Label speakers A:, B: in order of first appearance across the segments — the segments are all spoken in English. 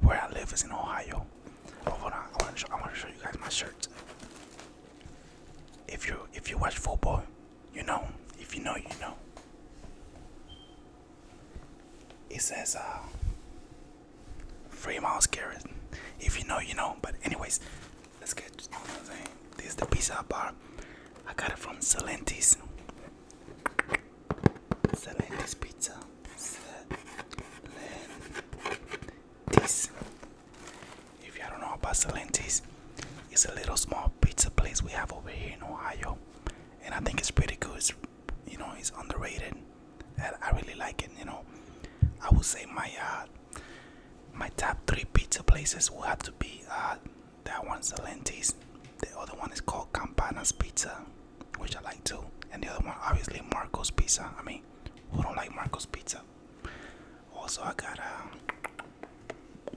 A: where I live is in Ohio. hold on, I want to show, I want to show you guys my shirt. If you if you watch football, you know. If you know, you know. It says uh, free miles carrot. If you know, you know. But anyways, let's get. This is the pizza bar. I got it from Salenti's. Salenti's pizza. Salenti's. If y'all don't know about Salenti's, it's a little small pizza place we have over here in Ohio, and I think it's pretty good. It's, you know, it's underrated, and I really like it. You know, I would say my uh, my top three pizza places will have to be uh, that one Salenti's. The other one is called Campana's Pizza which I like too. And the other one, obviously, Marco's Pizza. I mean, who don't like Marco's Pizza? Also, I got a, uh,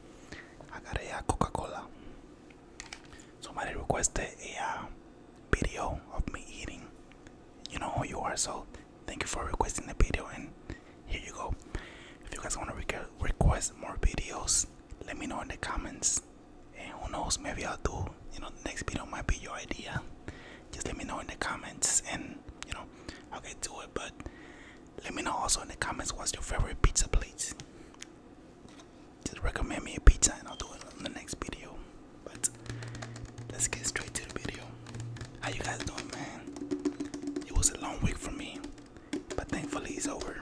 A: I got a, uh, Coca-Cola. Somebody requested a uh, video of me eating. You know who you are, so thank you for requesting the video. And here you go. If you guys want to request more videos, let me know in the comments who knows, maybe I'll do, you know, the next video might be your idea. Just let me know in the comments and, you know, I'll get to it. But let me know also in the comments what's your favorite pizza plate. Just recommend me a pizza and I'll do it in the next video. But let's get straight to the video. How you guys doing, man? It was a long week for me, but thankfully it's over.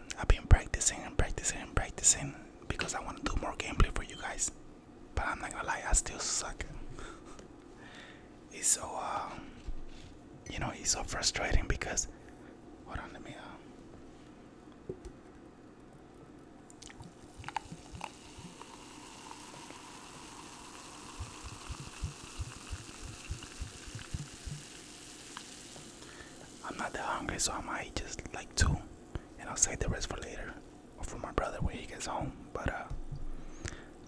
A: I've been practicing and practicing and practicing because I want to do more gameplay for you guys. But I'm not gonna lie, I still suck. it's so, um, you know, it's so frustrating because. Hold on, let me. Uh, I'm not that hungry, so I might just like two, and I'll save the rest for later or for my brother when he gets home. But uh,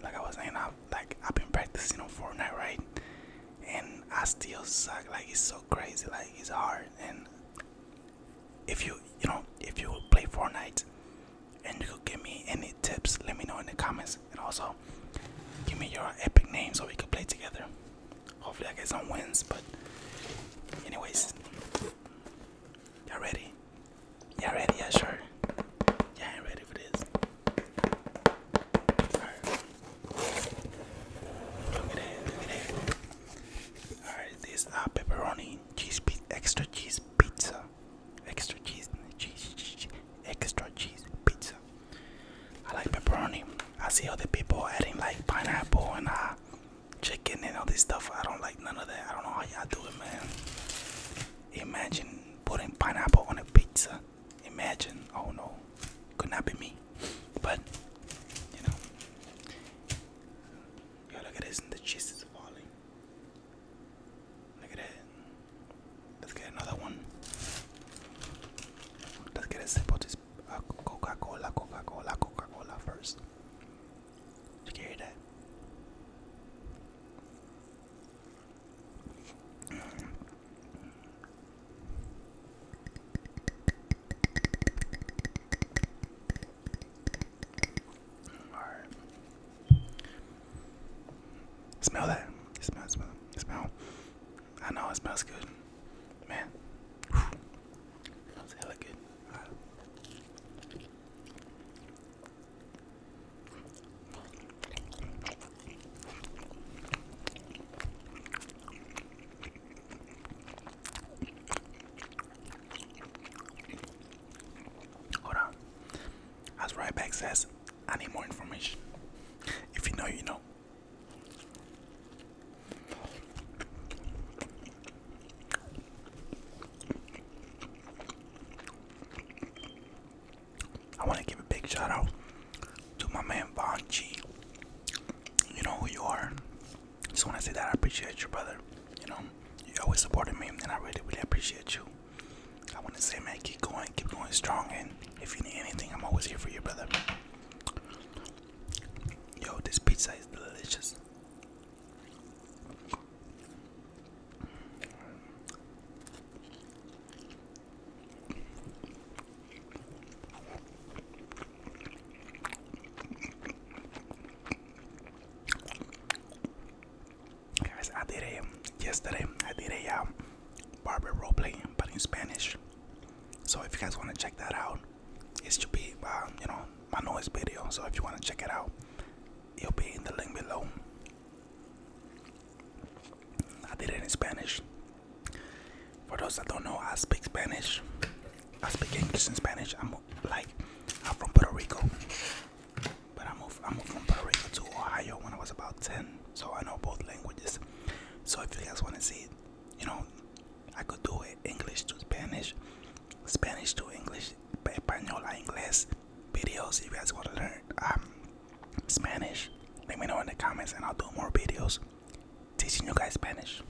A: like I was saying, I've like I've been practicing on Fortnite, right? And I still suck. Like it's so crazy. Like it's hard. And if you you know if you play Fortnite and you could give me any tips, let me know in the comments. And also give me your epic name so we could play together. Hopefully, I get some wins. But, anyways, y'all ready? Y'all ready? Yeah, sure. you ready for this. Alright. Look at that. Look at that. Alright, this uh, pepperoni cheese pizza, extra cheese pizza, extra cheese, cheese, cheese, cheese, extra cheese pizza. I like pepperoni. I see other people adding like pineapple and uh, chicken and all this stuff. I don't like none of that. I don't know how y'all do it, man. Imagine putting pineapple on a pizza. Imagine. Oh no, could not be me. But you know, look at this. The cheese is falling. Look at that. Let's get another one. Let's get a sample to is uh, Coca-Cola, Coca-Cola, Coca-Cola first. Did you hear that? Alright. Smell that. Smell, smell, smell. I know it smells good, man. Whew. Smells hella good. Hold on. I was right back says I need more information. If you know, you know. I want to give a big shout out to my man Von You know who you are. Just want to say that I appreciate you, brother. You know, you always supported me, and I really, really appreciate you. I want to say, man, keep going, keep going strong, and if you need anything, I'm always here for you, brother. Yo, this pizza is delicious. Guys, I did a yesterday. I did a um, barber role play, but in Spanish. So if you guys want to check that out, it should be um, you know my noise video. So if you want to check it out, it'll be in the link below. I did it in Spanish. For those that don't know, I speak Spanish. I speak English and Spanish. I'm like I'm from Puerto Rico, but I moved I moved from Puerto Rico to Ohio when I was about ten, so I know both languages. So if you guys want to see it, you know, I could do it English to Spanish, Spanish to English, Española English videos. If you guys want to learn um, Spanish, let me know in the comments and I'll do more videos teaching you guys Spanish.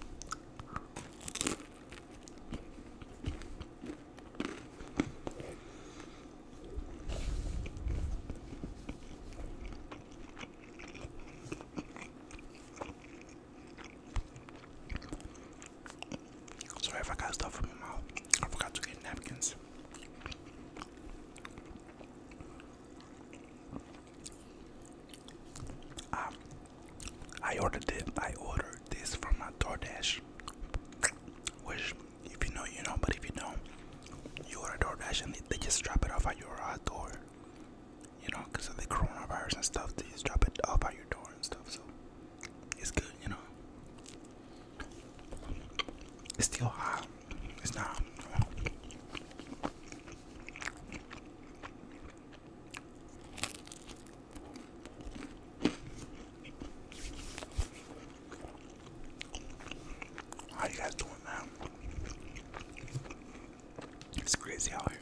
A: Sorry if I got stuff in my mouth. I forgot to get napkins. Ah, I ordered it. I ordered this from my DoorDash, which if you know, you know, but if you don't, you order DoorDash and they just drop it off at your uh, door. You know, because of the coronavirus and stuff, they just drop it off at your door and stuff. So it's good, you know. It's still hot. It's not. How you guys doing, man? It's crazy out here.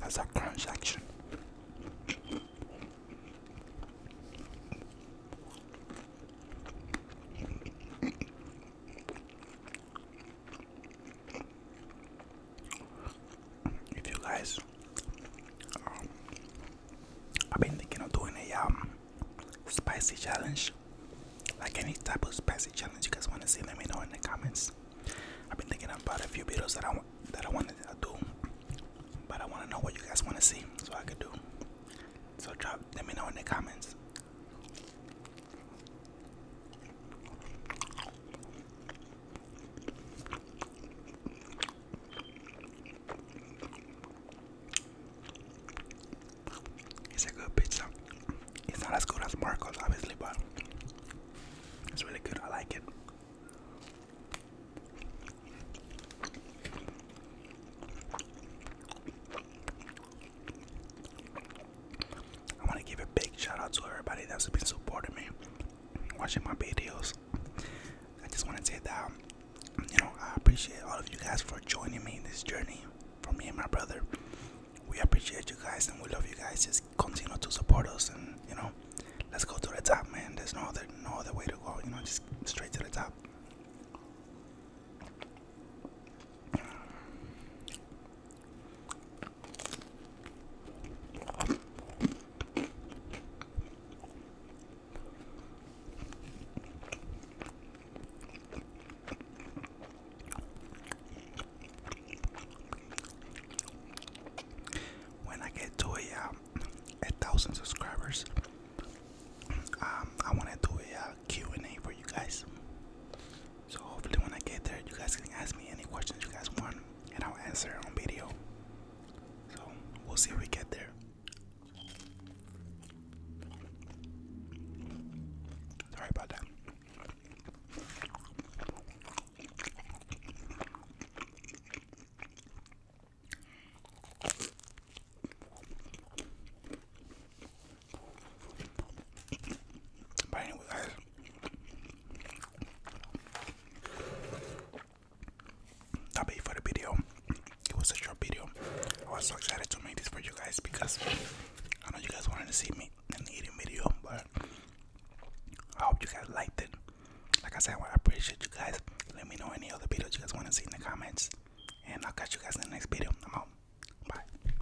A: That's a crunch action. If you guys, um, I've been thinking of doing a um spicy challenge, like any type of spicy challenge you guys want to see, let me know in the comments. I've been thinking about a few videos that I want that I wanted to do, but I want to know what you guys want to see, so I can do. So drop, let me know in the comments. It's a good pizza. It's not as good as Marcos, obviously, but it's really good. I like it. I want to give a big shout out to everybody that's been supporting me, watching my videos. I just want to say that, you know, I appreciate all of you guys for joining me in this journey for me and my brother. We appreciate you guys and we love you guys. Just continue to support us and, you know, let's go to the top, man. There's no other, no other way to go, you know, just straight to the top. When I get to a, um, a thousand subscribers, um, I want to do a uh, Q&A for you guys. So hopefully when I get there, you guys can ask me any questions you guys want, and I'll answer on video. So we'll see if we get there. Sorry about that. But anyway, guys, That'll be for the video. It was a short video. I was so excited to make this for you guys because I know you guys wanted to see me in a eating video, but I hope you guys liked it. Like I said, I appreciate you guys. Let me know any other videos you guys want to see in the comments. And I'll catch you guys in the next video. I'm out. Bye.